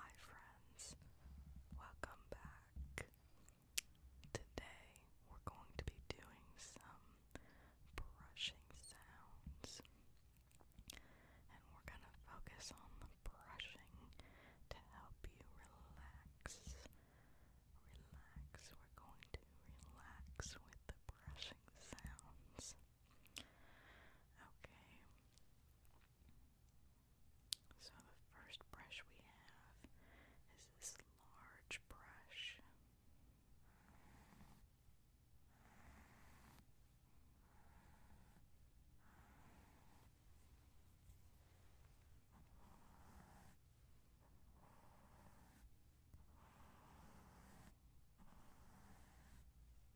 Hi friends, welcome back. Today we're going to be doing some brushing sounds. And we're going to focus on the brushing to help you relax. Relax, we're going to relax with the brushing sounds. Okay. So the first brush we have is this large brush.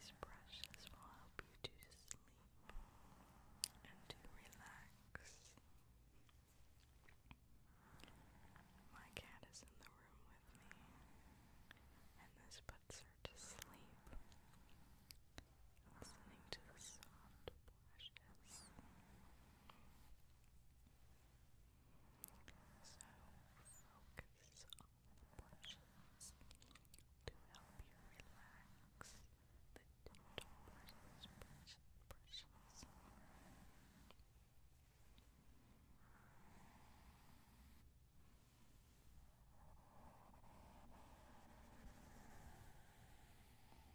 These brushes will help you to sleep and to relax. My cat is in the room with me, and this puts her to sleep. Listening to the soft lashes. So focus on the to help you relax the dental brushes, brushes, brushes.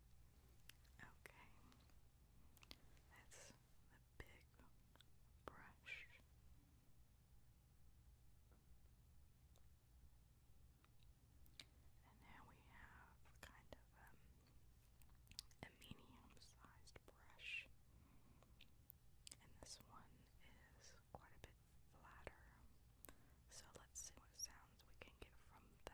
Okay, that's the big brush. And now we have kind of um, a medium-sized brush, and this one is quite a bit flatter. So let's see what sounds we can get from that.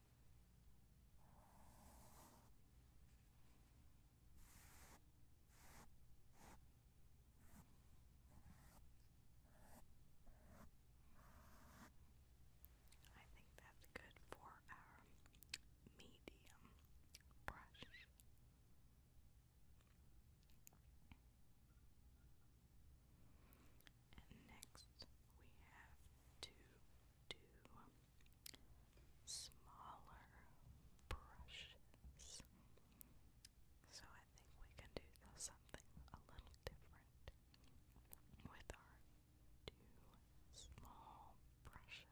I think that's good for our medium brush. And next we have to do smaller brushes. So I think we can do something a little different with our two small brushes.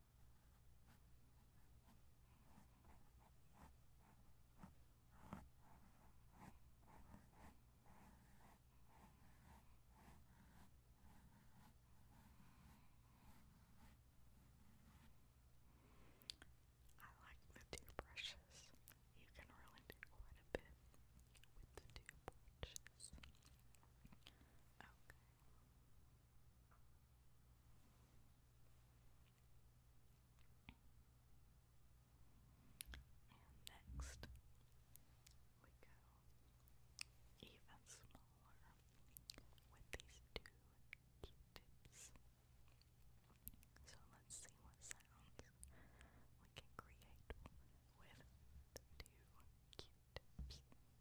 I like the two You can really do quite a bit with the two Okay. And next, we go even smaller with these 2 Q-tips. So let's see what sounds we can create with 2 Q-tips.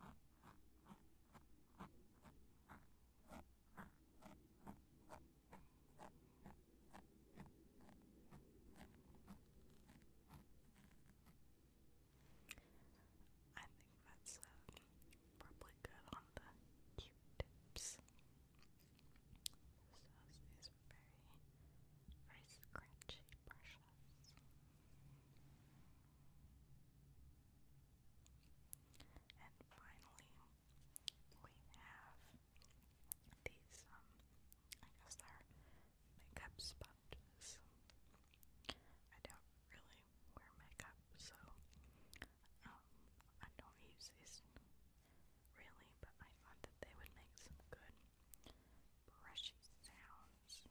I think that's uh, probably good on the Q tips very, very scratchy brushes. And finally, we have these, I guess they're makeup sponges. I don't really wear makeup, so um, I don't use these really, but I thought that they would make some good brushy sounds. Brushing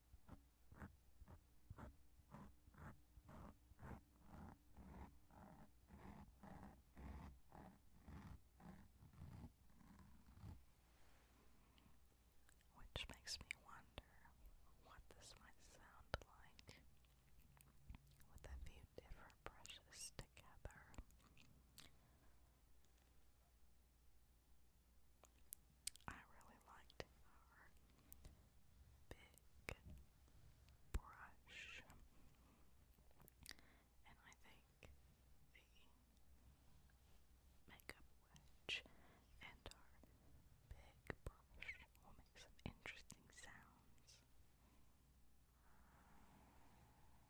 Which makes me wonder what this might sound like with a few different brushes together. I really liked our big brush, and I think the makeup wedge and our big brush will make some interesting sounds.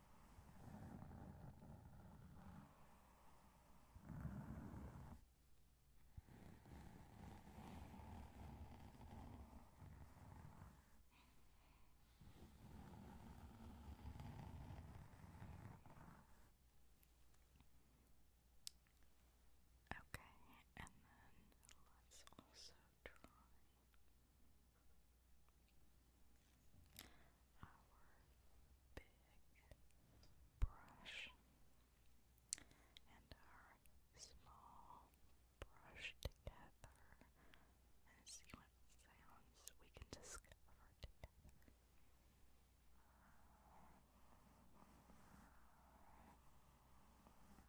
Okay, and then let's also try our big brush and our small brush together and see what sounds we can discover together.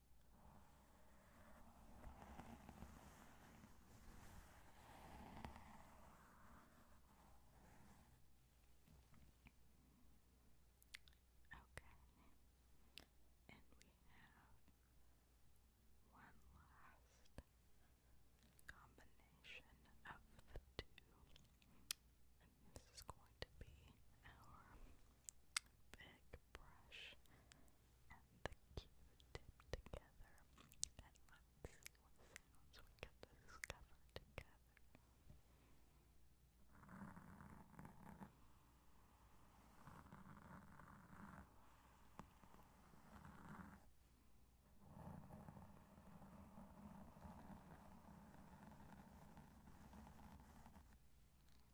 Okay, and we have one last combination of the two, this is going to be our big brush and the Q-tip together, and let's see what sounds we can discover together.